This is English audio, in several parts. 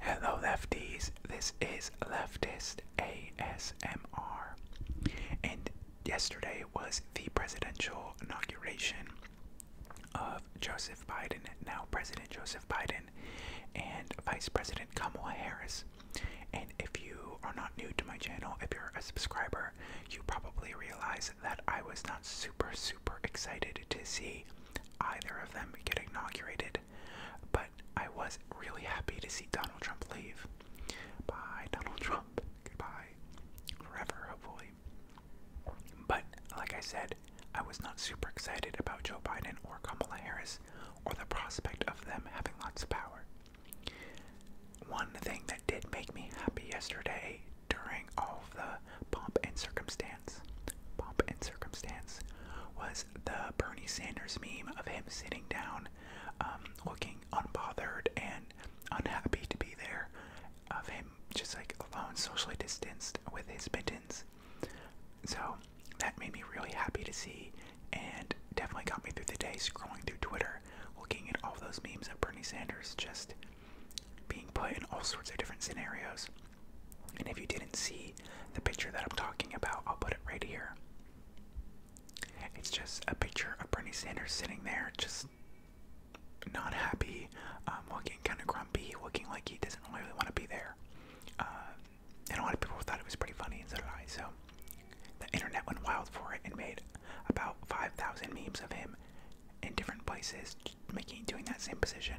Hello, lefties. This is Leftist ASMR. And yesterday was the presidential inauguration of Joseph Biden, now President Joseph Biden, and Vice President Kamala Harris. And if you are not new to my channel, if you're a subscriber, you probably realize that I was not super, super excited to see either of them get inaugurated. But I was really happy to see Donald Trump leave. Bye, Donald Trump. Goodbye. Forever, hopefully. But, like I said, I was not super excited about Joe Biden or Kamala Harris or the prospect of them having lots of power. One thing that did make me happy yesterday during all of the pomp and circumstance circumstance. and circumstance was the Bernie Sanders meme of him sitting down, um, looking unbothered and unhappy to be there, of him just like alone, socially distanced with his mittens. So that made me really happy to see, and definitely got me through the day scrolling through Twitter, looking at all those memes of Bernie Sanders just being put in all sorts of different scenarios. And if you didn't see the picture that I'm talking about, I'll put it right here. It's just a picture of Bernie Sanders sitting there, just not happy, um, looking kind of grumpy, looking like he doesn't really want to be there. Uh, and a lot of people thought it was pretty funny, and so did I. So the internet went wild for it and made about 5,000 memes of him in different places, making doing that same position.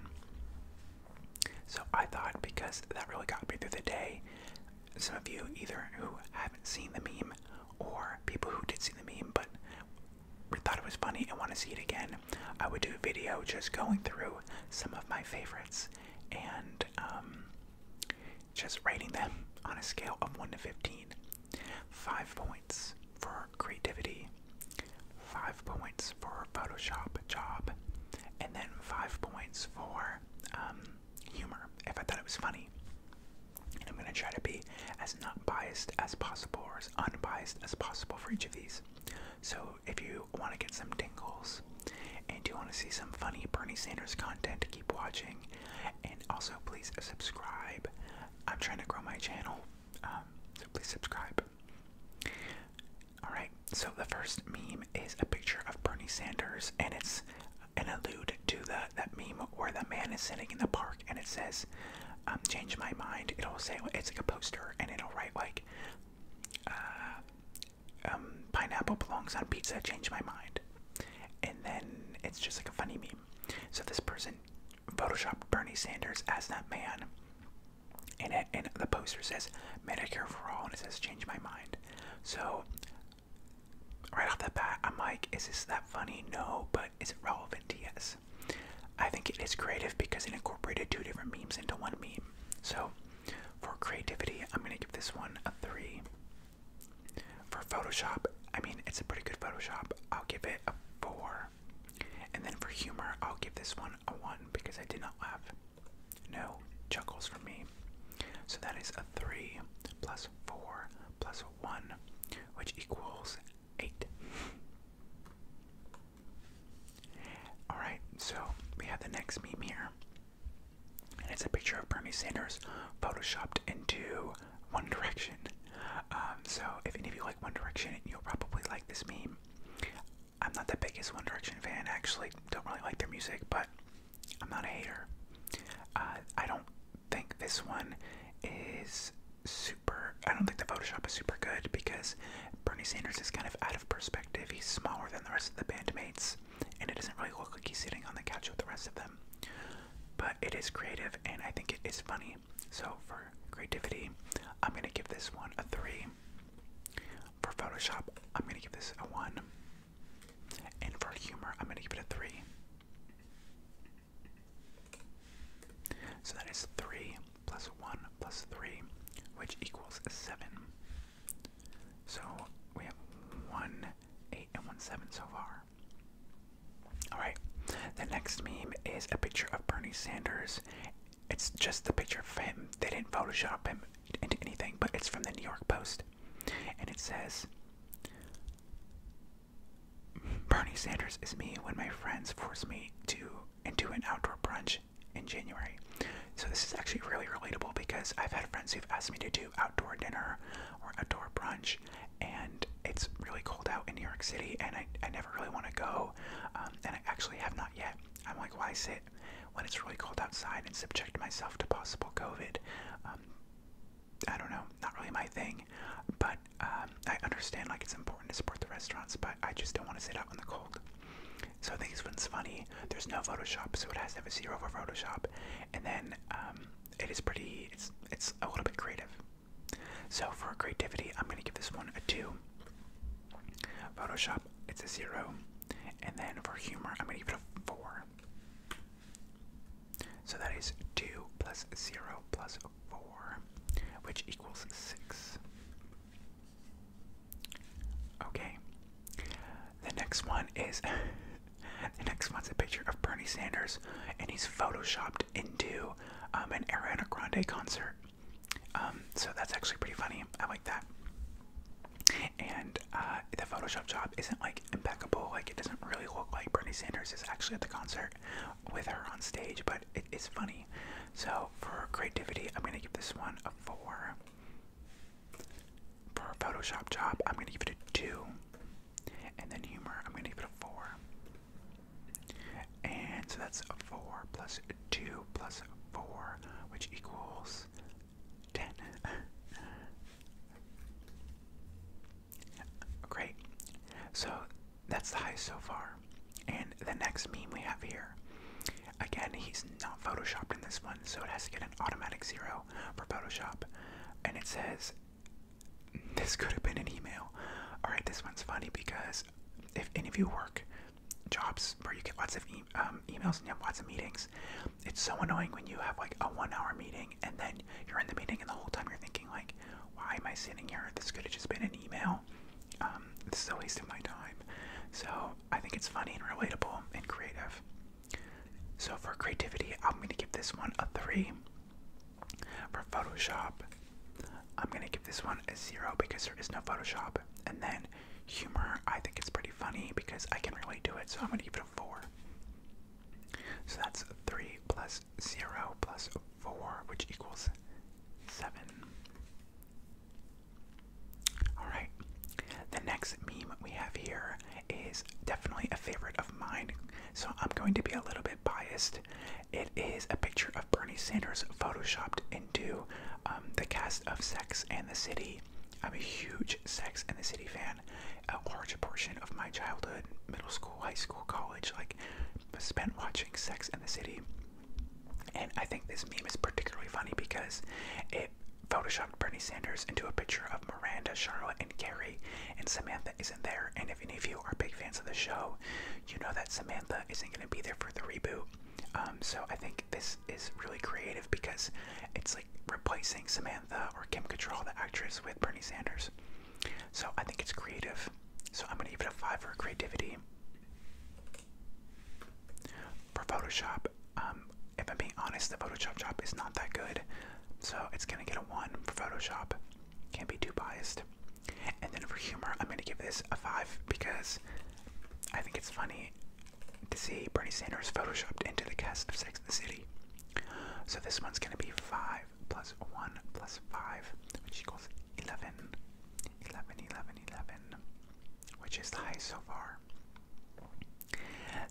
So I thought because that really got me through the day, some of you either who haven't seen the meme or people who did see the meme but thought it was funny and want to see it again, I would do a video just going through some of my favorites and um, just rating them on a scale of 1 to 15. 5 points for creativity, 5 points for Photoshop, job, And then five points for um, humor, if I thought it was funny. And I'm going to try to be as not biased as possible or as unbiased as possible for each of these. So if you want to get some tingles and you want to see some funny Bernie Sanders content, keep watching. And also, please subscribe. I'm trying to grow my channel, um, so please subscribe. Alright, so the first meme is a picture of Bernie Sanders, and it's an allude to the, that meme where the man is sitting in the park and it says, um, Change my mind. It'll say, it's like a poster, and it'll write, like, uh, um, pineapple belongs on pizza, change my mind. And then it's just like a funny meme. So this person photoshopped Bernie Sanders as that man and and the poster says Medicare for all, and it says change my mind. So right off the bat, I'm like, is this that funny? No, but is it relevant? Yes. I think it is creative because it incorporated two different memes into one meme. So for creativity, I'm gonna give this one a three. For Photoshop, I mean it's a pretty good Photoshop. I'll give it a four. And then for humor, I'll give this one a one because I did not laugh. No chuckles from me. So that is a 3 plus 4 plus 1, which equals 8. Alright, so we have the next meme here. And it's a picture of Bernie Sanders photoshopped into One Direction. Um, so if any of you like One Direction, you'll probably like this meme. I'm not the biggest One Direction fan, actually. Don't really like their music, but I'm not a hater. Uh, I don't think this one is super. I don't think the Photoshop is super good because Bernie Sanders is kind of out of perspective. He's smaller than the rest of the bandmates, and it doesn't really look like he's sitting on the couch with the rest of them. But it is creative, and I think it is funny. So for creativity, I'm gonna give this one a three. For Photoshop, I'm gonna give this a 1. And for humor, I'm gonna give it a 3. So that is 3 plus 1 plus 3, which equals 7. So we have 1, 8, and 1, 7 so far. Alright, the next meme is a picture of Bernie Sanders. It's just a picture of him. They didn't Photoshop him, into anything, but it's from the New York Post. And it says Bernie Sanders is me when my friends force me to into an outdoor brunch in January. So this is actually really relatable because I've had friends who've asked me to do outdoor dinner or outdoor brunch and it's really cold out in New York City and I, I never really want to go um, and I actually have not yet. I'm like, why sit when it's really cold outside and subject myself to possible COVID. Um, I don't know, not really my thing, but um, I understand like it's important to support the restaurants, but I just don't want to sit out in the cold. So I think this one's funny. There's no Photoshop, so it has to have a zero for Photoshop, and then um, it is pretty. It's it's a little bit creative. So for creativity, I'm gonna give this one a two. Photoshop, it's a zero. And then for humor, I'm going to give it a 4. So that is 2 plus 0 plus 4, which equals 6. Okay. The next one is. the next one's a picture of Bernie Sanders, and he's photoshopped into um, an Ariana Grande concert. Um, so that's actually pretty funny. I like that. And uh, the Photoshop job isn't like impeccable. Like it doesn't really look like Bernie Sanders is actually at the concert with her on stage, but it is funny. So for creativity, I'm gonna give this one a four. For a Photoshop job, I'm gonna give it a two. And then humor, I'm gonna give it a four. And so that's a four plus two plus four, which equals ten. Great. So that's the highest so far. And the next meme we have here. Again, he's not photoshopped in this one, so it has to get an automatic zero for Photoshop. And it says, This could have been an email. Alright, this one's funny because if any of you work jobs where you get lots of um, emails and you have lots of meetings, it's so annoying when you have like a one hour meeting and then you're in the meeting and the whole time you're thinking like, why am I sitting here? This could have just been an email. Um, this is a waste of my time. So I think it's funny and relatable and creative. So for creativity, I'm gonna give this one a three. For Photoshop, I'm gonna give this one a zero because there is no Photoshop. And then humor. I think it's pretty funny because I can really do it, so I'm gonna give it a four. So that's three plus zero plus four, which equals seven. Alright. The next meme we have here is definitely a favorite of mine, so I'm going to be a little bit biased. It is a picture of Bernie Sanders photoshopped into um, the cast of Sex and the City. I'm a huge Sex and the City fan. A large portion of my childhood, middle school, high school, college, like, spent watching Sex and the City. And I think this meme is particularly funny because it photoshopped Bernie Sanders into a picture of Miranda, Charlotte, and Gary, and Samantha isn't there. And if any of you are big fans of the show, you know that Samantha isn't going to be there for the reboot. Um, so I think this is really creative because it's like replacing Samantha or Kim Cattrall, the actress, with Bernie Sanders. So I think it's creative. So I'm gonna give it a five for creativity. For Photoshop, um, if I'm being honest, the Photoshop job is not that good, so it's gonna get a one for Photoshop. Can't be too biased. And then for humor, I'm gonna give this a five because I think it's funny to see Bernie Sanders photoshopped into the cast of Sex and the City. So this one's going to be 5 plus 1 plus 5, which equals 11. 11, 11, 11, which is the highest so far.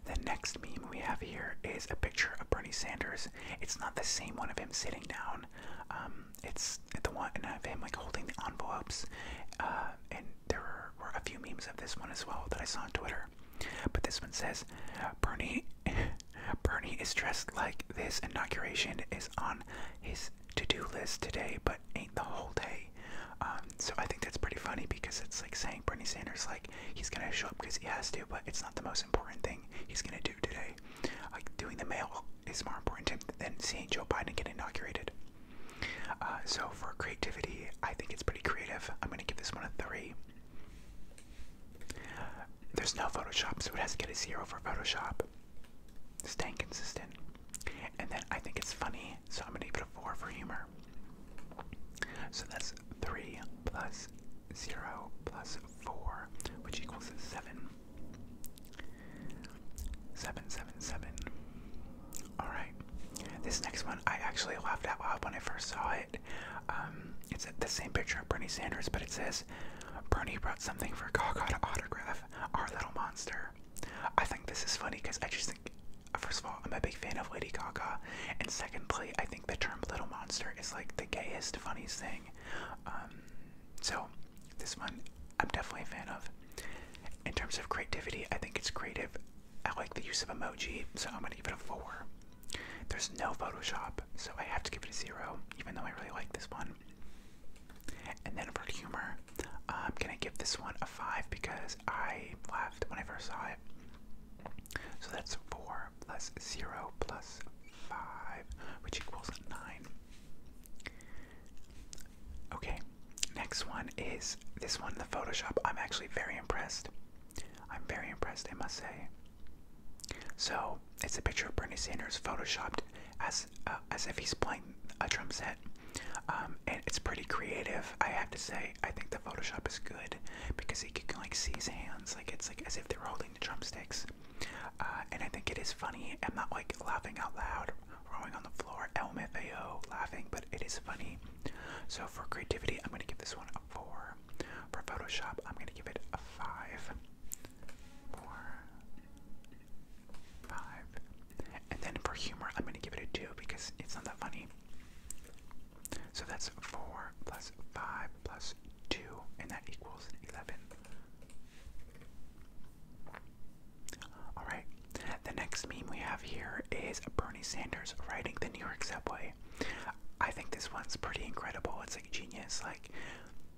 The next meme we have here is a picture of Bernie Sanders. It's not the same one of him sitting down. Um, it's the one of him like holding the envelopes uh, and there were a few memes of this one as well that I saw on Twitter. But this one says, Bernie, Bernie is dressed like this inauguration is on his to-do list today, but ain't the whole day. Um, so I think that's pretty funny because it's like saying Bernie Sanders, like he's gonna show up because he has to, but it's not the most important thing he's gonna do today. Like doing the mail is more important to him than seeing Joe Biden get inaugurated. Uh, so for creativity, I think it's pretty creative. I'm gonna give this one a three. There's no Photoshop, so it has to get a zero for Photoshop. Staying consistent. And then I think it's funny, so I'm gonna give it a four for humor. So that's three plus zero plus four, which equals seven. Seven, seven, seven. Alright, this next one I actually laughed out loud when I first saw it. Um, it's the same picture of Bernie Sanders, but it says, Bernie brought something for Gaga to autograph, our little monster. I think this is funny because I just think, first of all, I'm a big fan of Lady Gaga, and secondly, I think the term little monster is like the gayest, funniest thing. Um, so, this one I'm definitely a fan of. In terms of creativity, I think it's creative I like the use of emoji, so I'm gonna give it a 4. There's no Photoshop, so I have to give it a 0, even though I really like this one. And then for humor, I'm gonna give this one a 5 because I laughed when I first saw it. So that's 4 plus 0 plus 5, which equals 9. Okay, next one is this one, the Photoshop. I'm actually very impressed. I'm very impressed, I must say. So it's a picture of Bernie Sanders photoshopped as uh, as if he's playing a drum set, um, and it's pretty creative. I have to say, I think the Photoshop is good because he can like see his hands, like it's like as if they're holding the drumsticks. Uh, and I think it is funny. I'm not like laughing out loud, rolling on the floor, LMFAO, laughing, but it is funny. So for creativity, I'm going to give this one a 4. For Photoshop, I'm going to give it a 5. 4. 5. And then for humor, I'm going to give it a 2 because it's not that funny. So that's 4 plus 5 plus 2, and that equals 11. Alright, the next meme we have here is a burn. Bernie Sanders riding the New York subway. I think this one's pretty incredible. It's like genius. Like,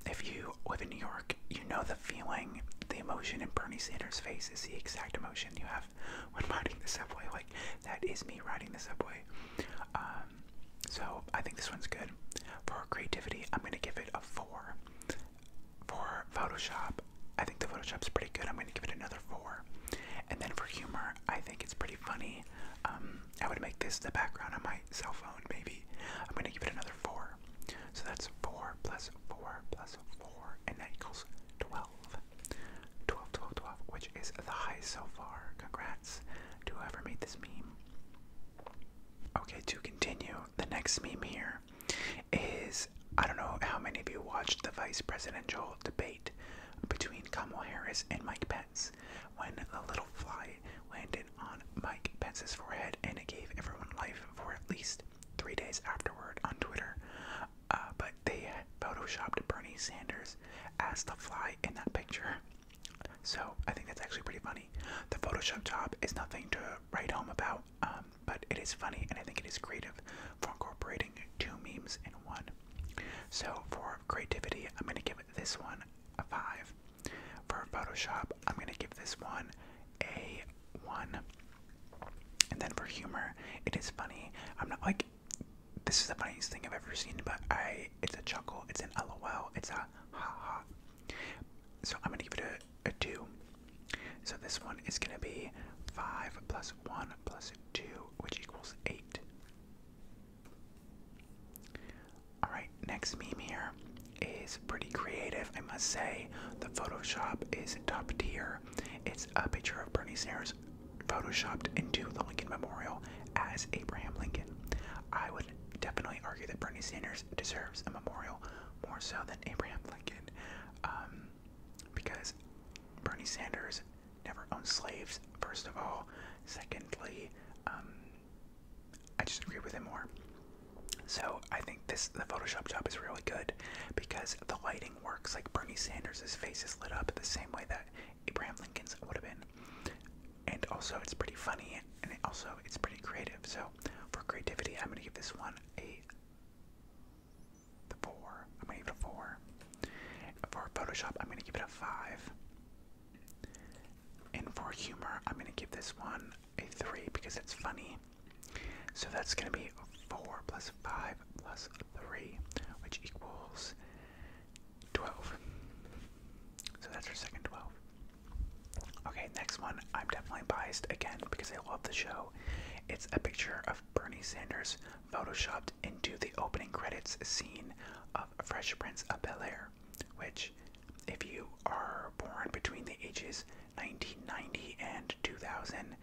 if you live in New York, you know the feeling, the emotion in Bernie Sanders' face is the exact emotion you have when riding the subway. Like, that is me riding the subway. Um, so, I think this one's good. For creativity, I'm going to give it a 4. For Photoshop, I think the Photoshop is pretty good. I'm going to give it another 4. And then for humor, I think it's pretty funny. Um, I would make this the background on my cell phone, maybe. I'm gonna give it another four. So that's four plus four plus four, and that equals 12. 12, 12, 12, which is the highest so far. Congrats to whoever made this meme. Okay, to continue, the next meme here is I don't know how many of you watched the vice presidential debate between Kamal Harris and Mike Pence when the little fly landed on Mike Pence's forehead and it gave everyone life for at least three days afterward on Twitter. Uh, but they photoshopped Bernie Sanders as the fly in that picture. So I think that's actually pretty funny. The Photoshop job is nothing to write home about, um, but it is funny and I think it is creative for incorporating two memes in one. So for creativity, I'm going to give this one a 5. For Photoshop, I'm going to give this one a 1. And then for humor, it is funny. I'm not like, this is the funniest thing I've ever seen, but I, it's a chuckle, it's an lol, it's a ha ha. So I'm going to give it a, 2. So this one is going to be 5 plus 1 plus 2, which equals 8. Alright, next meme here is pretty creative, I must say. The Photoshop is top tier. It's a picture of Bernie Sanders photoshopped into the Lincoln Memorial as Abraham Lincoln. I would definitely argue that Bernie Sanders deserves a memorial more so than Abraham Lincoln um, because Bernie Sanders never owned slaves, first of all. Secondly, um, I just agree with him more. So I think this the Photoshop job is really good because the lighting works. Like Bernie Sanders' face is lit up the same way that Abraham Lincoln's would have been, and also it's pretty funny and also it's pretty creative. So for creativity, I'm gonna give this one a the four. I'm gonna give it a four. For Photoshop, I'm gonna give it a five. And for humor, I'm gonna give this one a three because it's funny. So that's gonna be four plus five plus three, which equals twelve. So that's our second twelve. Okay, next one. I'm definitely biased again because I love the show. It's a picture of Bernie Sanders photoshopped into the opening credits scene of Fresh Prince of Bel Air, which, if you are born between the ages 1990 and 2000,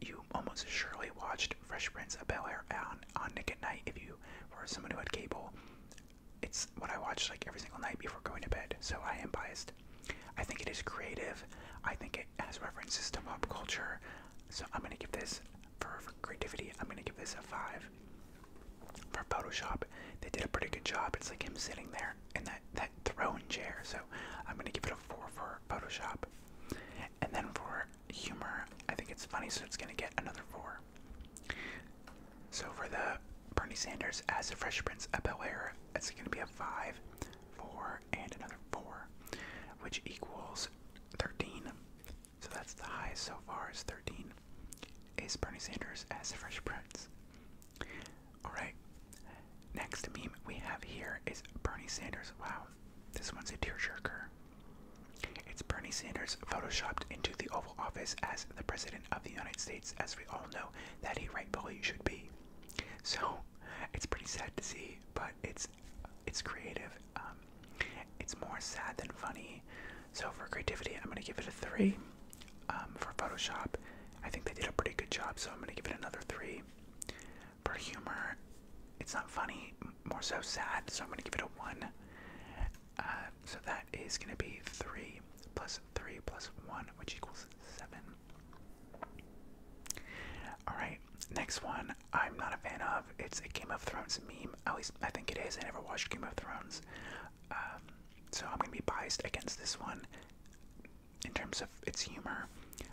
you almost surely watched Fresh Prince of Bel Air on, on Nick at Night. If you were someone who had cable, it's what I watched like every single night before going to bed, so I am biased. I think it is creative, I think it has references to pop culture, so I'm gonna give this for, creativity, I'm gonna give this a five. For Photoshop, they did a pretty good job. It's like him sitting there in that that throne chair. So I'm gonna give it a four for Photoshop. And then for humor, I think it's funny, so it's gonna get another four. So for the Bernie Sanders as the Fresh Prince of Bel Air, it's gonna be a five, four, and another four, which equals thirteen. So that's the highest so far is 13. Is Bernie Sanders as Fresh Prince? Alright. Next meme we have here is Bernie Sanders. Wow, this one's a tearjerker. It's Bernie Sanders photoshopped into the Oval Office as the President of the United States, as we all know that he rightfully should be. So it's pretty sad to see, but it's it's creative. Um, it's more sad than funny. So for creativity, I'm gonna give it a three. Um, for Photoshop, I think they did a pretty good job, so I'm gonna give it another three. For humor, it's not funny, more so sad, so I'm gonna give it a one. Uh, so that is gonna be three plus three plus one, which equals seven. All right, next one I'm not a fan of. It's a Game of Thrones meme. At least I think it is. I never watched Game of Thrones. Um, so I'm going to be biased against this one in terms of its humor.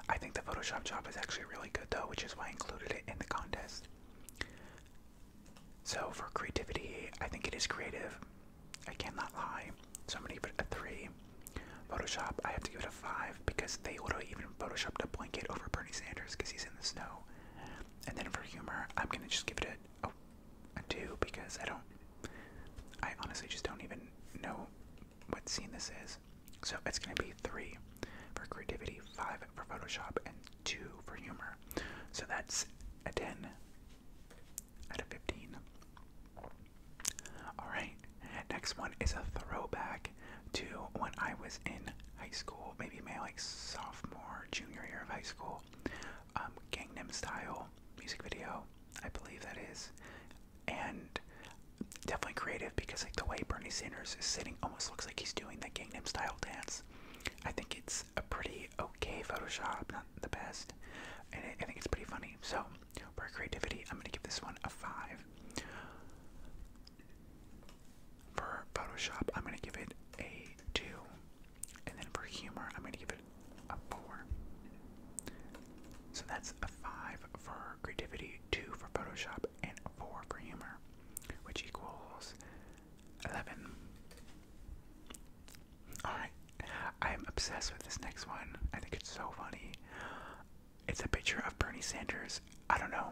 I think the Photoshop job is actually really good though, which is why I included it in the contest. So for creativity, I think it is creative. I cannot lie. So I'm gonna give it a three. Photoshop, I have to give it a five because they literally even photoshopped a blanket over Bernie Sanders because he's in the snow. And then for humor, I'm gonna just give it a, two because I don't, I honestly just don't even know what scene this is. So it's gonna be three for creativity, five for Photoshop, and two for humor. So that's a 10 out of 15. Alright, next one is a throwback to when I was in high school, maybe my like sophomore, junior year of high school. Um, Gangnam Style music video, I believe that is, and definitely creative because like the way Bernie Sanders is sitting almost looks like he's doing the Gangnam Style dance. I think it's a pretty okay Photoshop, not the best, and I think it's pretty funny. So for creativity, I'm gonna give this one a five. For Photoshop, I'm going to give it a 2. And then for humor, I'm going to give it a 4. So that's a 5 for creativity, 2 for Photoshop, and 4 for humor, which equals 11. Alright, I'm obsessed with this next one. I think it's so funny. It's a picture of Bernie Sanders because I don't know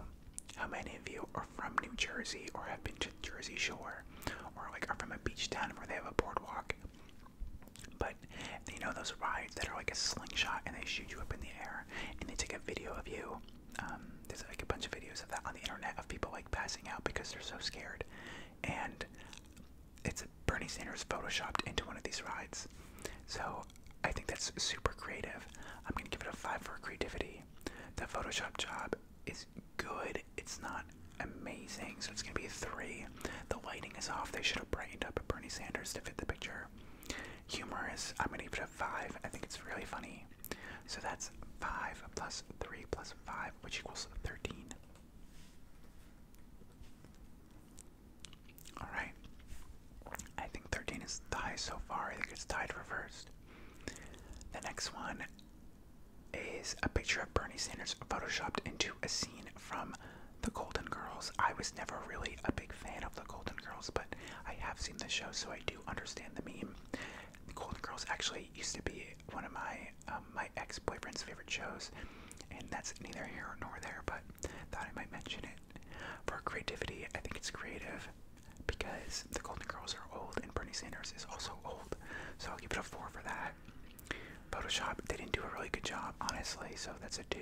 how many of you are from New Jersey or have been to Jersey Shore or like are from a beach town where they have a boardwalk. But you know those rides that are like a slingshot and they shoot you up in the air and they take a video of you. Um, there's like a bunch of videos of that on the internet of people like passing out because they're so scared. And it's Bernie Sanders photoshopped into one of these rides. So I think that's super creative. I'm gonna give it a five for creativity. That Photoshop job is good. It's not amazing, so it's gonna be three. The lighting is off. They should have brightened up Bernie Sanders to fit the picture. Humorous. I'm gonna give it a five. I think it's really funny. So that's five plus three plus five, which equals thirteen. All right. I think 13 is tied so far. I think it's tied reversed. The next one is a picture of Bernie Sanders photoshopped into a scene from The Golden Girls. I was never really a big fan of The Golden Girls, but I have seen the show, so I do understand the meme. The Golden Girls actually used to be one of my um, my ex-boyfriend's favorite shows, and that's neither here nor there, but thought I might mention it. For creativity, I think it's creative because the Golden Girls are old and Bernie Sanders is also old. So I'll give it a 4 for that. Photoshop, they didn't do a really good job, honestly, so that's a 2.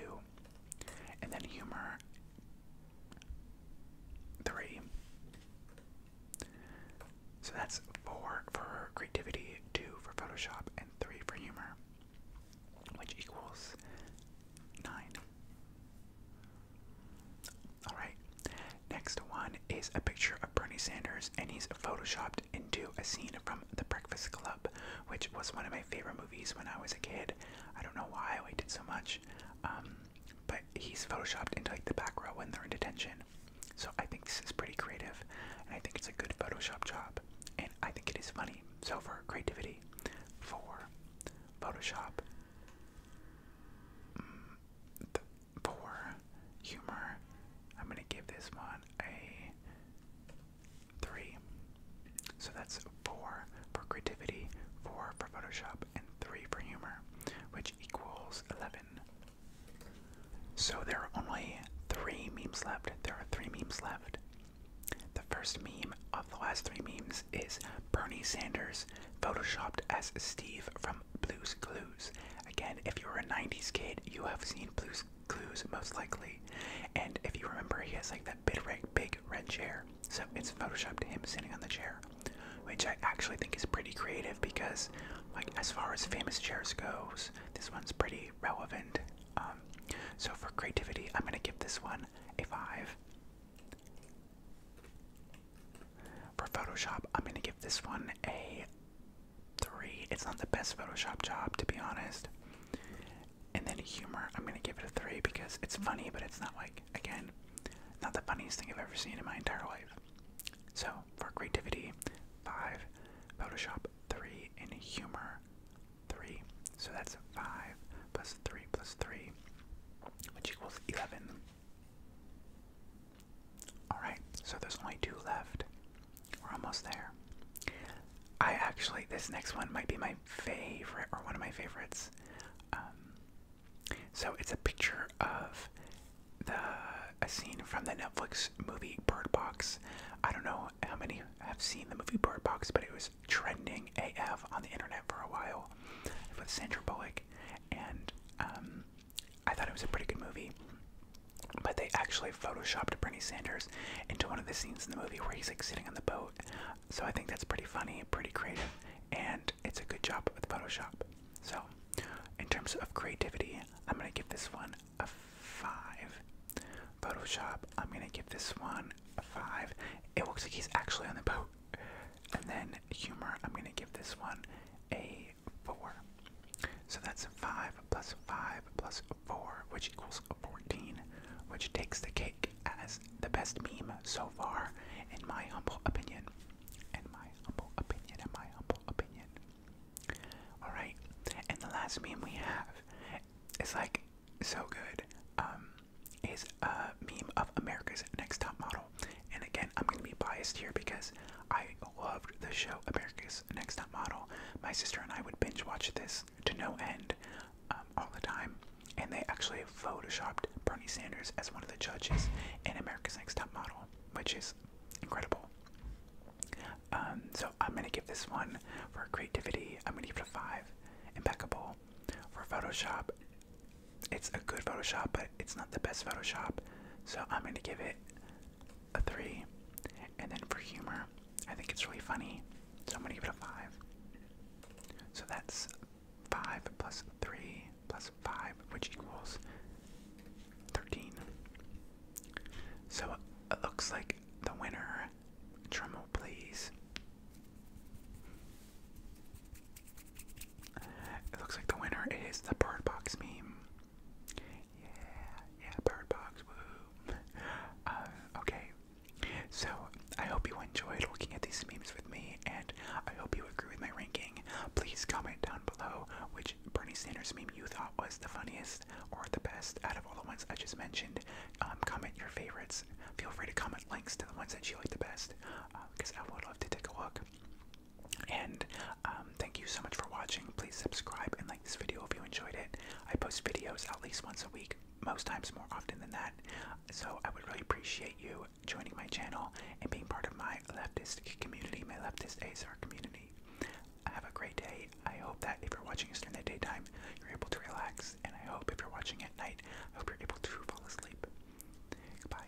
And then humor, 3. So that's 4 for creativity, 2 for Photoshop, and 3 for humor, which equals 9. Alright, next one is a picture of Bernie Sanders, and he's photoshopped into a scene from The Breakfast Club, which was one of my favorite movies when I was a kid. I don't know why I liked it so much, um, but he's photoshopped into like the back row when they're in detention. So I think this is pretty creative, and I think it's a good Photoshop job, and I think it is funny. So for creativity, for Photoshop, the humor. I'm gonna give this one a three. So that's four for creativity, four for Photoshop, and three for humor, which equals eleven. So there are only three memes left. There are three memes left. The first meme of the last three memes is Bernie Sanders photoshopped as Steve from Blues Clues. Again, if you were a 90s kid, you have seen Blues Clues most likely. And if you remember, he has like that big red, chair. So it's photoshopped him sitting on the chair, which I actually think is pretty creative because, like, as far as famous chairs goes, this one's pretty relevant. Um, so for creativity, I'm gonna give this one a five. For Photoshop, I'm gonna give this one a three. It's not the best Photoshop job, to be honest. And then humor, I'm gonna give it a three because it's funny, but it's not like again, not the funniest thing I've ever seen in my entire life. So for creativity, five. Photoshop three and humor three. So that's five plus three plus three, which equals eleven. Alright, so there's only two left. We're almost there. I actually, this next one might be my favorite, or one of my favorites. Um, so it's a picture of the a scene from the Netflix movie Bird Box. I don't know how many have seen the movie Bird Box, but it was trending AF on the internet for a while with Sandra Bullock, and um, I thought it was a pretty good movie. But they actually photoshopped Bernie Sanders into one of the scenes in the movie where he's like sitting on the boat. So I think that's pretty funny, pretty creative, and it's a good job with Photoshop. So, in terms of creativity, I'm gonna give this one a five. Photoshop, I'm gonna give this one a five. It looks like he's actually on the boat. And then humor, I'm going to give this one a 4. So that's 5 plus 5 plus 4, which equals 14, which takes the cake as the best meme so far, in my humble opinion. In my humble opinion, in my humble opinion. Alright, and the last meme we have is like so good. Um, is a. Uh, meme of America's Next Top Model. And again, I'm going to be biased here because I loved the show America's Next Top Model. My sister and I would binge watch this to no end um, all the time. And they actually photoshopped Bernie Sanders as one of the judges in America's Next Top Model, which is incredible. Um, so I'm going to give this one for creativity. I'm going to give it a 5. Impeccable. For Photoshop, it's a good Photoshop, but it's not the best Photoshop. So I'm gonna give it a three. And then for humor, I think it's really funny. So I'm gonna give it a five. So that's five plus three plus five, which equals thirteen. So it looks like the winner. Drumroll, please. It looks like the winner is the Bird Box meme. Yeah, yeah, Bird Box, woo. Uh, okay, so I hope you enjoyed looking at these memes with me, and I hope you agree with my ranking. Please comment down below which Bernie Sanders meme you thought was the funniest or the best out of all the ones I just mentioned. Um, comment your favorites. Feel free to comment links to the ones that you liked the best, because uh, I would love to take a look. And um, thank you so much for watching. Please subscribe and like this video if you enjoyed it. I post videos at least once a week, most times more often than that. So I would really appreciate you joining my channel and being part of my leftist community, my leftist ASR community. Have a great day. I hope that if you're watching us during the daytime, you're able to relax. And I hope if you're watching at night, I hope you're able to fall asleep. Goodbye.